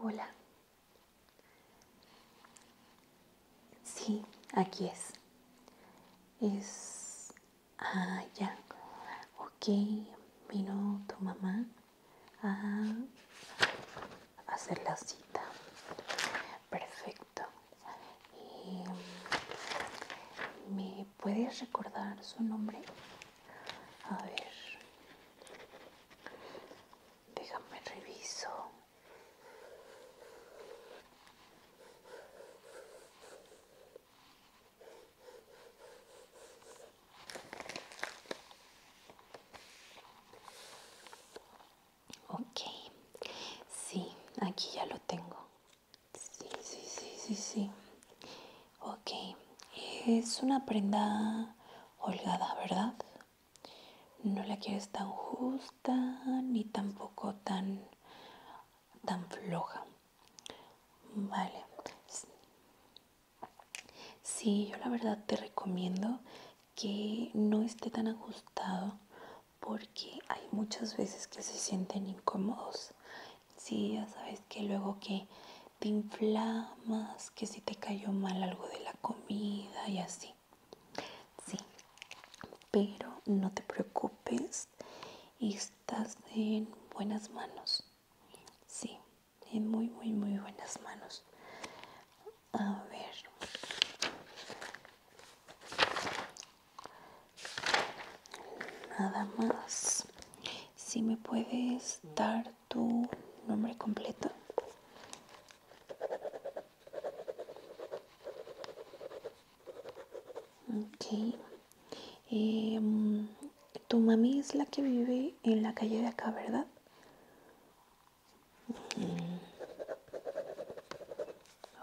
Hola. Sí, aquí es. Es... Ah, ya. Ok, vino tu mamá a ah, hacer la cita. Perfecto. Y, ¿Me puedes recordar su nombre? A ver. Déjame reviso. Ok, sí, aquí ya lo tengo. Sí, sí, sí, sí, sí. Ok, es una prenda holgada, ¿verdad? No la quieres tan justa ni tampoco tan, tan floja. Vale. Sí, yo la verdad te recomiendo que no esté tan ajustado porque hay muchas veces que se sienten incómodos. Sí, ya sabes que luego que te inflamas, que si te cayó mal algo de la comida y así. Sí, pero no te preocupes, estás en buenas manos. Sí, en muy, muy, muy buenas manos. A ver. Nada más. Si me puedes dar tu nombre completo. Ok. Em, tu mami es la que vive en la calle de acá, ¿verdad?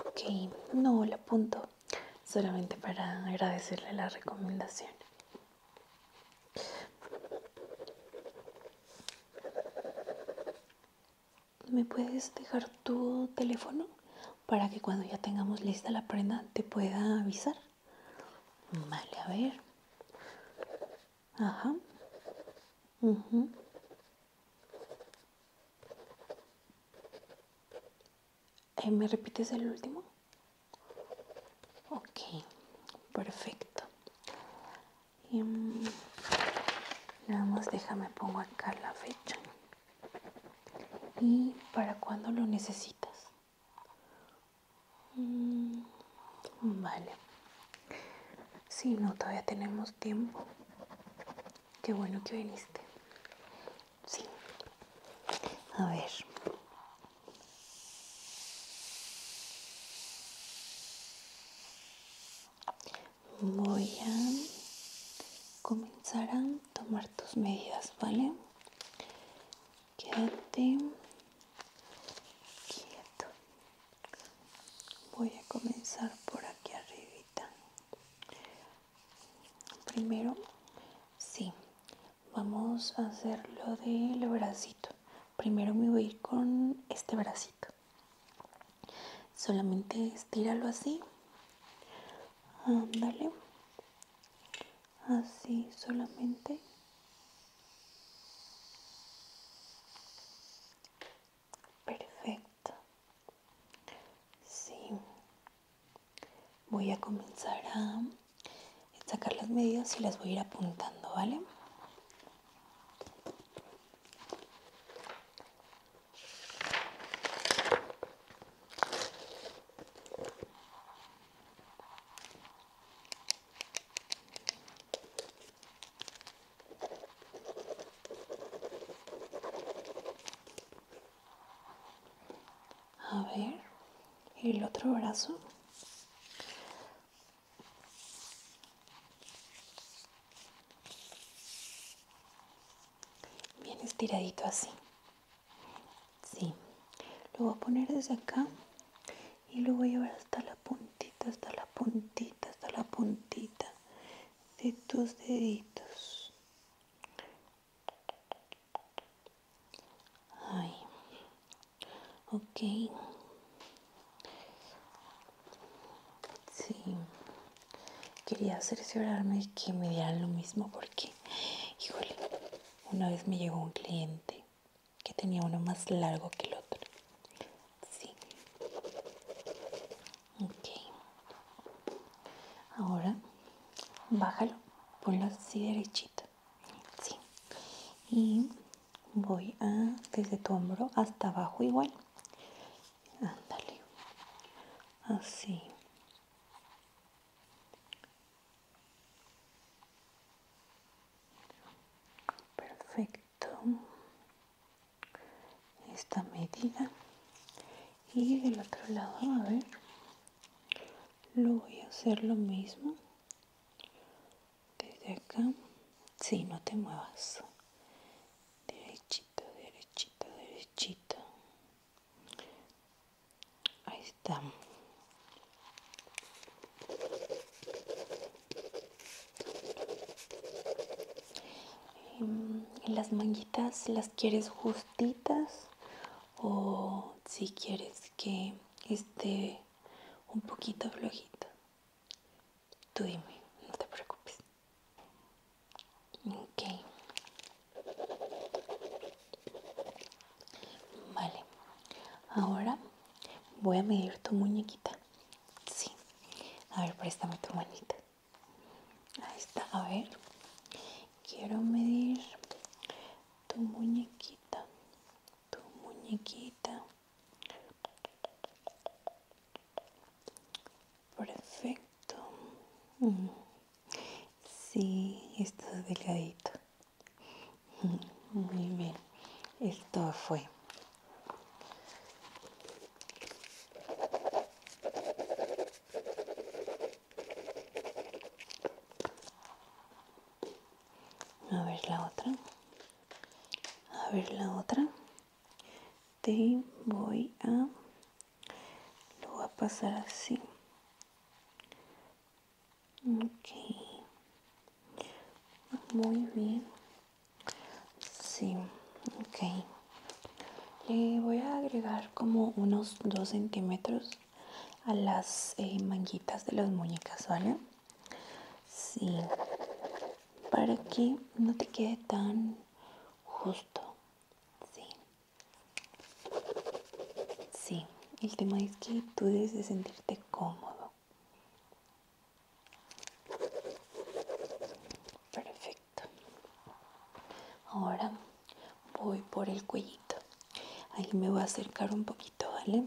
Ok, no la apunto solamente para agradecerle la recomendación. ¿Me puedes dejar tu teléfono para que cuando ya tengamos lista la prenda te pueda avisar? Vale, a ver. Ajá. ajá, eh, ¿Me repites el último? Ok, perfecto. Em, nada más déjame pongo acá la fecha. ¿Y para cuándo lo necesitas? Mm, vale. si no, todavía tenemos tiempo. Qué bueno que viniste. Sí. A ver. Voy a comenzar a tomar tus medidas, ¿vale? Quédate quieto. Voy a comenzar por aquí arriba Primero, sí, vamos a hacer lo del bracito. Primero me voy a ir con este bracito. Solamente estíralo así. Ándale. Así solamente. Perfecto. Sí. Voy a comenzar a sacar las medidas y las voy a ir apuntando, ¿vale? A ver, el otro brazo. Bien estiradito así. Sí. Lo voy a poner desde acá y lo voy a llevar hasta la punta hasta la puntita, hasta la puntita de tus deditos. Ay. Ok. Sí. Quería cerciorarme que me dieran lo mismo porque, híjole, una vez me llegó un cliente que tenía uno más largo que el otro. Sí. Ok. Ahora, bájalo, ponlo así derechito. Sí. Y voy a, desde tu hombro hasta abajo igual. Ándale. Así. Perfecto esta medida y del otro lado a ver lo voy a hacer lo mismo desde acá si no te muevas derechito derechito derechito ahí está Em, las manguitas las quieres justitas o si quieres que esté un poquito flojito Tú dime, no te preocupes. Ok. Vale. Ahora voy a medir tu muñequita. Sí. A ver, préstame tu manita. Ahí está. A ver. Quiero medir tu muñequita. Tu muñequita. Perfecto. Mm. Sí, está delgadito. Mm, muy bien. Esto fue a ver la otra. A ver la otra. Te voy a... Lo voy a pasar así. Ok. Muy bien. Sí, Le voy a agregar como unos 2 centímetros a las eh, manguitas de las muñecas, ¿vale? Sí, para que no te quede tan justo. Sí. Sí, el tema es que tú debes de sentirte cómodo. Perfecto. Ahora voy por el cuellito. Ahí me voy a acercar un poquito, ¿vale?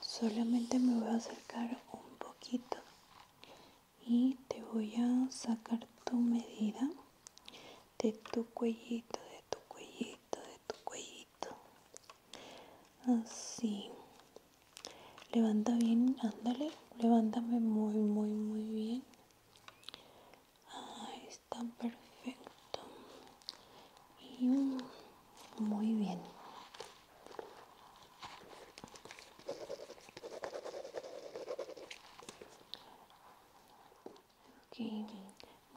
Solamente me voy a acercar un poquito y te voy a sacar tu medida de tu cuellito, de tu cuellito, de tu cuellito así levanta bien ándale levántame muy muy muy bien está perfecto y muy bien okay.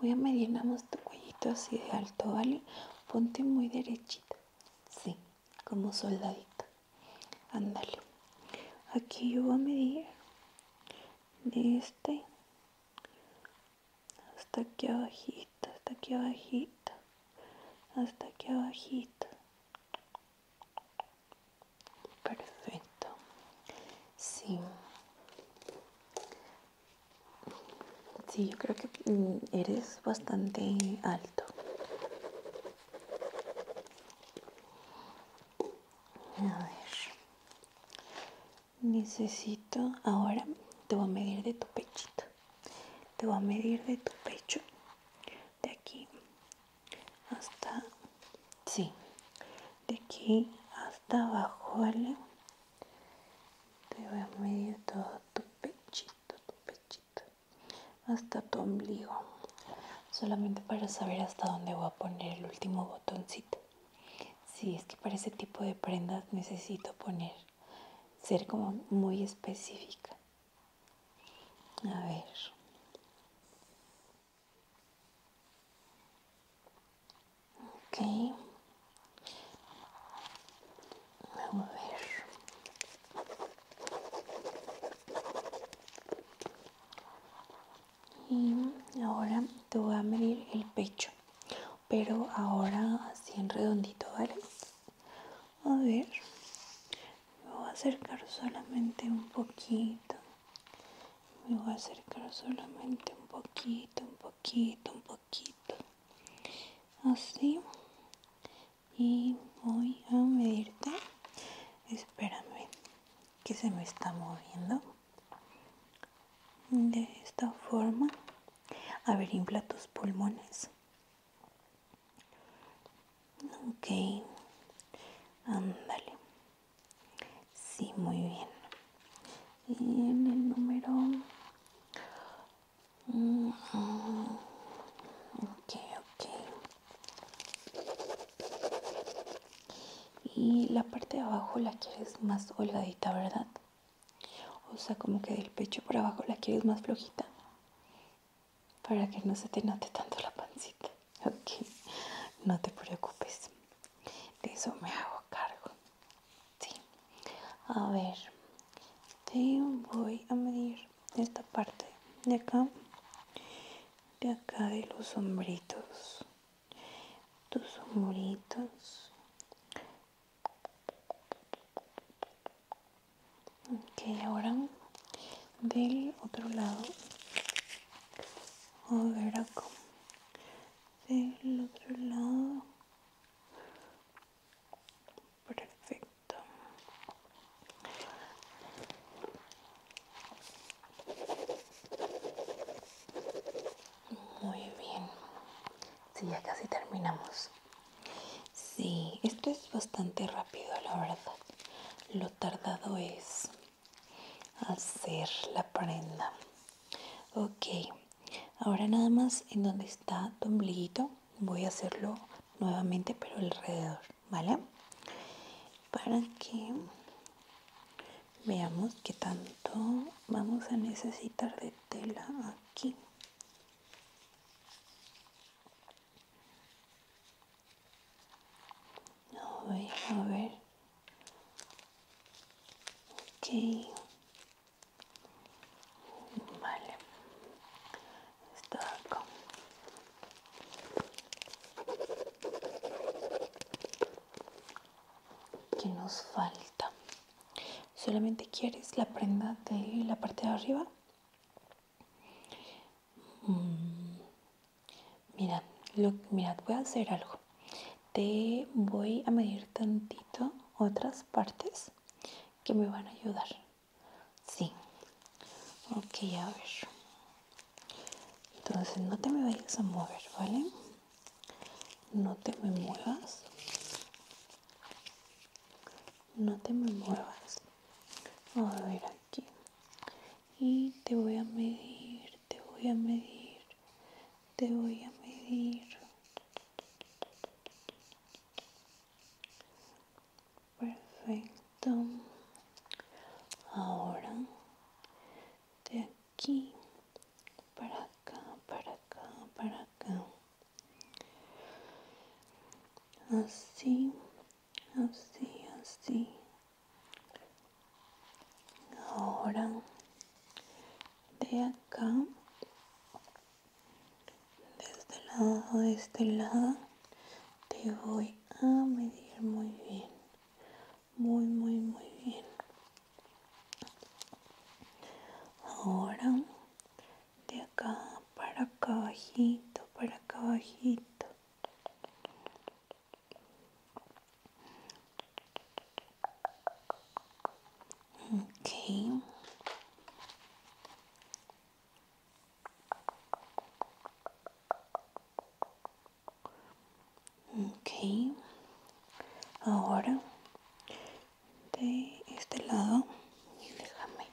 voy a medir nada más tu cuellito así de alto vale ponte muy derechita Sí, como soldadito. Ándale. Aquí yo voy a medir de este hasta aquí abajito, hasta aquí abajito, hasta aquí abajito. Perfecto. Sí. Sí, yo creo que eres bastante alto. Necesito ahora te voy a medir de tu pechito. Te voy a medir de tu pecho de aquí hasta sí. De aquí hasta abajo, ¿vale? Te voy a medir todo tu pechito, tu pechito hasta tu ombligo solamente para saber hasta dónde voy a poner el último botoncito si es que para ese tipo de prendas necesito poner ser como muy específica a ver ok Vamos a ver. Y ahora te voy a medir el pecho, pero ahora así en redondito, ¿vale? A ver, me voy a acercar solamente un poquito. Me voy a acercar solamente un poquito, un poquito, un poquito. Así y voy a medirte espérame que se me está moviendo de esta forma a ver infla tus pulmones ok ándale sí muy bien y en el número Ok, ok. Y la parte de abajo la quieres más holadita, ¿verdad? O sea, como que del pecho por abajo la quieres más flojita. Para que no se te note tanto la pancita. Ok, no te preocupes. De eso me hago cargo. Sí. A ver, te voy a medir esta parte de acá de acá de los sombritos tus sombritos ok ahora del otro lado a ver acá del otro lado perfecto muy bien si ya casi terminamos Sí, esto es bastante rápido la verdad lo tardado es hacer la prenda ok ahora nada más en donde está tu ombliguito voy a hacerlo nuevamente pero alrededor vale para que veamos qué tanto vamos a necesitar de tela aquí a ver a ver ok Vale. Esto ¿Qué nos falta? ¿Solamente quieres la prenda de la parte de arriba? Mm, mira Mirad, lo, mirad, voy a hacer algo. Te voy a medir tantito otras partes que me van a ayudar. Sí. Ok, a ver. Entonces no te me vayas a mover, ¿vale? No te me muevas. No te me muevas. A ver aquí. Y te voy a medir, te voy a medir, te voy a medir perfecto ahora de aquí para acá para acá para acá así así así ahora de acá desde el lado de este lado te voy a medir muy bien muy muy muy bien ahora de acá para acá bajito para acá bajito ok Ok, ahora de este lado, déjame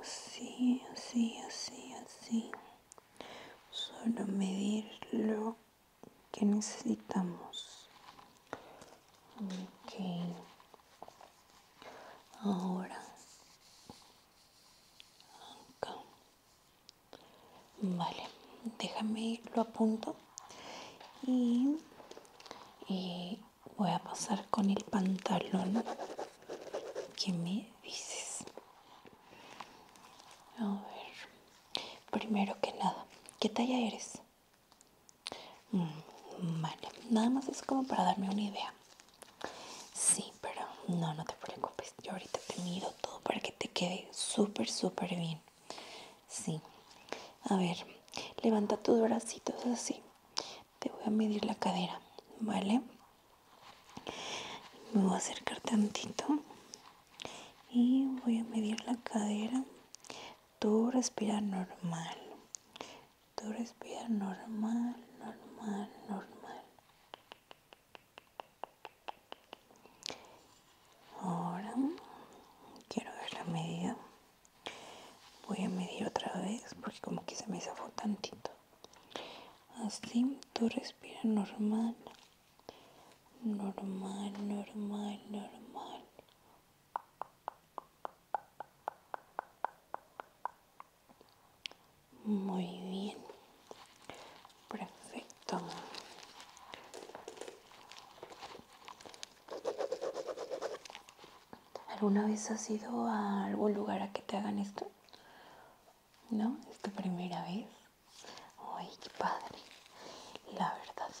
así, así, así, así, solo medir lo que necesitamos. Ok, ahora vale déjame lo a y, y eh, voy a pasar con el pantalón que me dices a ver primero que nada qué talla eres mm, vale nada más es como para darme una idea Sí, pero no, no te preocupes. Yo ahorita te mido todo para que te quede súper, súper bien. Sí. A ver, levanta tus bracitos así. Te voy a medir la cadera, ¿vale? Me voy a acercar tantito. Y voy a medir la cadera. tu respira normal. Tú respiras normal, normal, normal. Ahora quiero ver la medida. Voy a medir otra vez porque como que se me zafó tantito. Así, tú respiras normal. Normal, normal, normal. Muy bien. Perfecto. ¿Alguna vez has ido a algún lugar a que te hagan esto? ¿No? ¿Es tu primera vez? ¡Ay, qué padre! La verdad.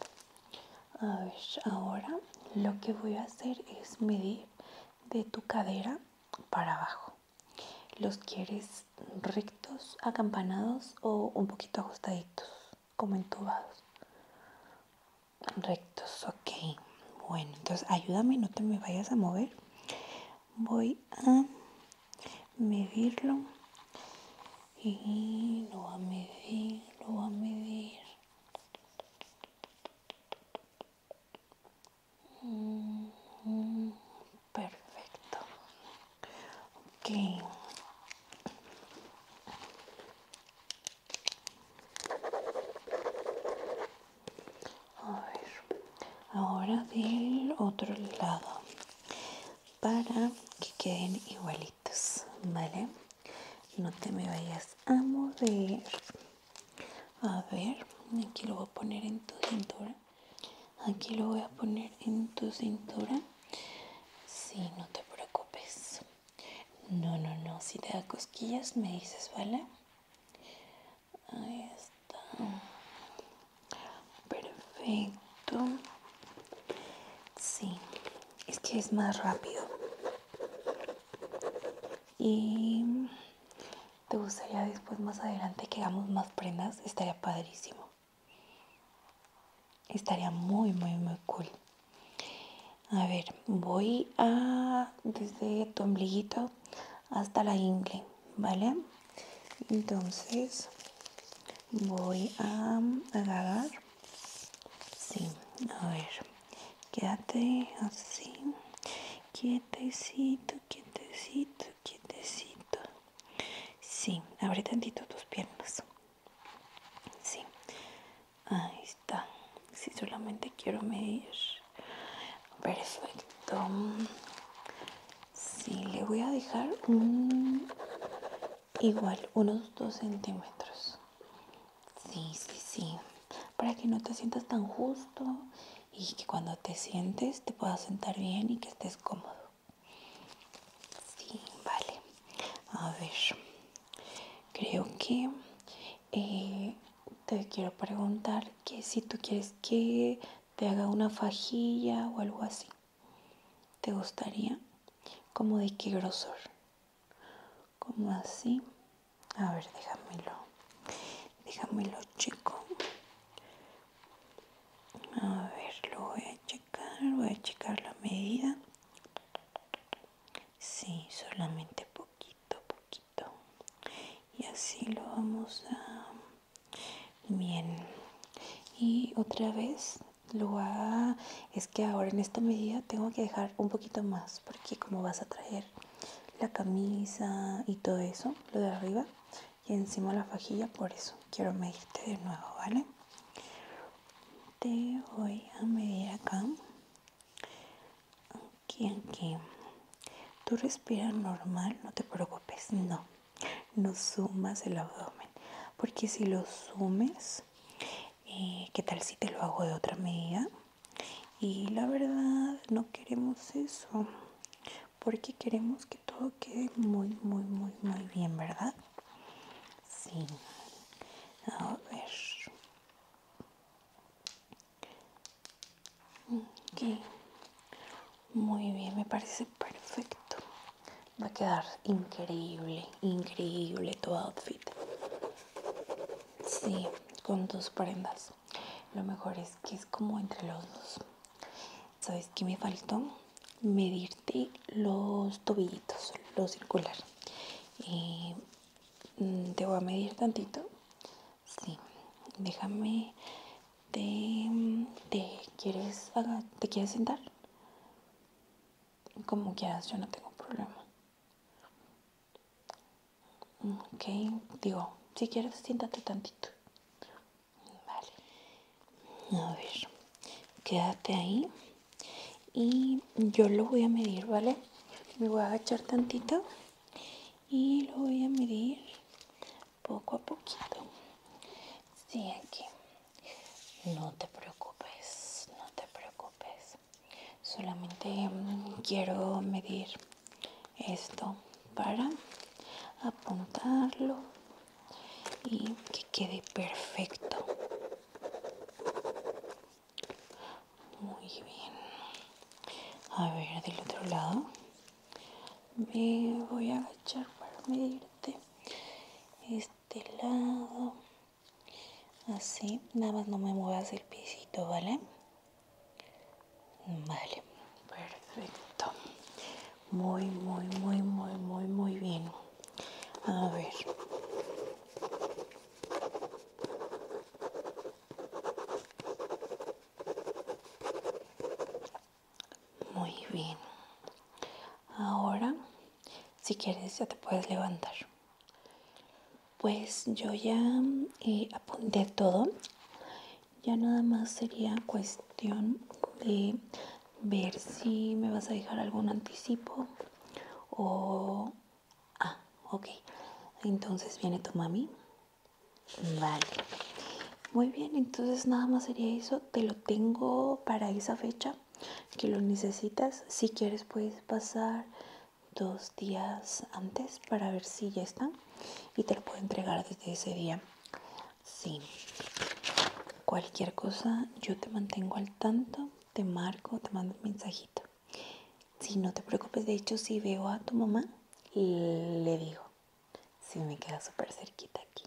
A ver, ahora lo que voy a hacer es medir de tu cadera para abajo. ¿Los quieres rectos, acampanados o un poquito ajustaditos, como entubados? Rectos, ok. Bueno, entonces ayúdame, no te me vayas a mover. Voy a medirlo. Y lo voy a medir, lo a medir. Mm, perfecto. Ok. A ver. Ahora del otro lado. Para que queden igualitos. ¿Vale? No te me vayas a mover a ver aquí lo voy a poner en tu cintura aquí lo voy a poner en tu cintura si sí, no te preocupes no no no si te da cosquillas me dices vale ahí está perfecto sí es que es más rápido y ¿Te gustaría después más adelante que hagamos más prendas? Estaría padrísimo. Estaría muy, muy, muy cool. A ver, voy a desde tu ombliguito hasta la ingle, ¿vale? Entonces voy a agarrar. Sí, a ver, quédate así. Quietecito, quietecito, quietecito. Sí, abre tantito tus piernas. Sí, ahí está. Si sí, solamente quiero medir. Perfecto. Sí, le voy a dejar un, igual, unos 2 centímetros. Sí, sí, sí. Para que no te sientas tan justo y que cuando te sientes te puedas sentar bien y que estés cómodo. Sí, vale. A ver, creo que eh, te quiero preguntar que si tú quieres que te haga una fajilla o algo así. ¿Te gustaría? ¿Como de qué grosor? Como así. A ver, déjamelo. Déjamelo, chico. A ver, lo voy a checar. Voy a checar la medida. Sí, solamente poquito, poquito. Y así lo vamos a... Bien. Y otra vez lo voy a... Es que ahora en esta medida tengo que dejar un poquito más porque como vas a traer la camisa y todo eso, lo de arriba. Y encima la fajilla, por eso quiero medirte de nuevo, ¿vale? Te voy a medir acá. Aquí, aquí. Tú respiras normal, no te preocupes, no. No sumas el abdomen. Porque si lo sumes, que eh, ¿qué tal si te lo hago de otra medida? Y la verdad no queremos eso, porque queremos que todo quede muy, muy, muy, muy bien, ¿verdad? Sí. A ver. Muy bien, me parece perfecto. Va a quedar increíble, increíble tu outfit. Sí, con tus prendas. Lo mejor es que es como entre los dos. ¿Sabes que me faltó? Medirte los tobillitos, lo circular. Eh, mm, te voy a medir tantito. Sí, déjame. Te, quieres te quieres sentar. Como quieras, yo no tengo problema. Ok, digo, si quieres siéntate tantito. Vale. A ver, quédate ahí. Y yo lo voy a medir, ¿vale? Me voy a agachar tantito. Y lo voy a medir poco a poquito. Sí, aquí. No te preocupes, no te preocupes. Solamente mm, quiero medir esto para apuntarlo y que quede perfecto muy bien a ver del otro lado me voy a agachar para medirte este lado así nada más no me muevas el piecito vale Vale, perfecto. Muy, muy, muy, muy, muy, muy bien. A ver. Muy bien. Ahora, si quieres, ya te puedes levantar. Pues yo ya eh, apunté todo ya nada más sería cuestión de ver si me vas a dejar algún anticipo o... Ah, ok. Entonces viene tu mami. Vale. Muy bien, entonces nada más sería eso. Te lo tengo para esa fecha que lo necesitas. Si quieres puedes pasar dos días antes para ver si ya están y te lo puedo entregar desde ese día. Sí, cualquier cosa yo te mantengo al tanto, te marco, te mando un mensajito. Si no te preocupes, de hecho, si veo a tu mamá, le digo. Si me queda súper cerquita aquí.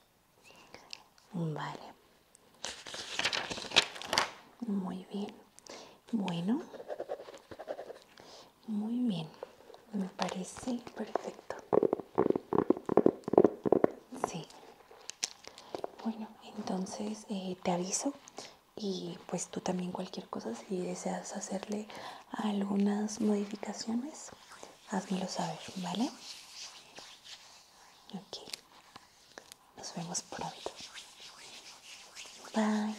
Vale. Muy bien. Bueno, muy bien, me parece perfecto. Sí. Bueno, entonces eh, te aviso y pues tú también cualquier cosa, si deseas hacerle algunas modificaciones, házmelo saber, ¿vale? Ok. Nos vemos pronto. Bye.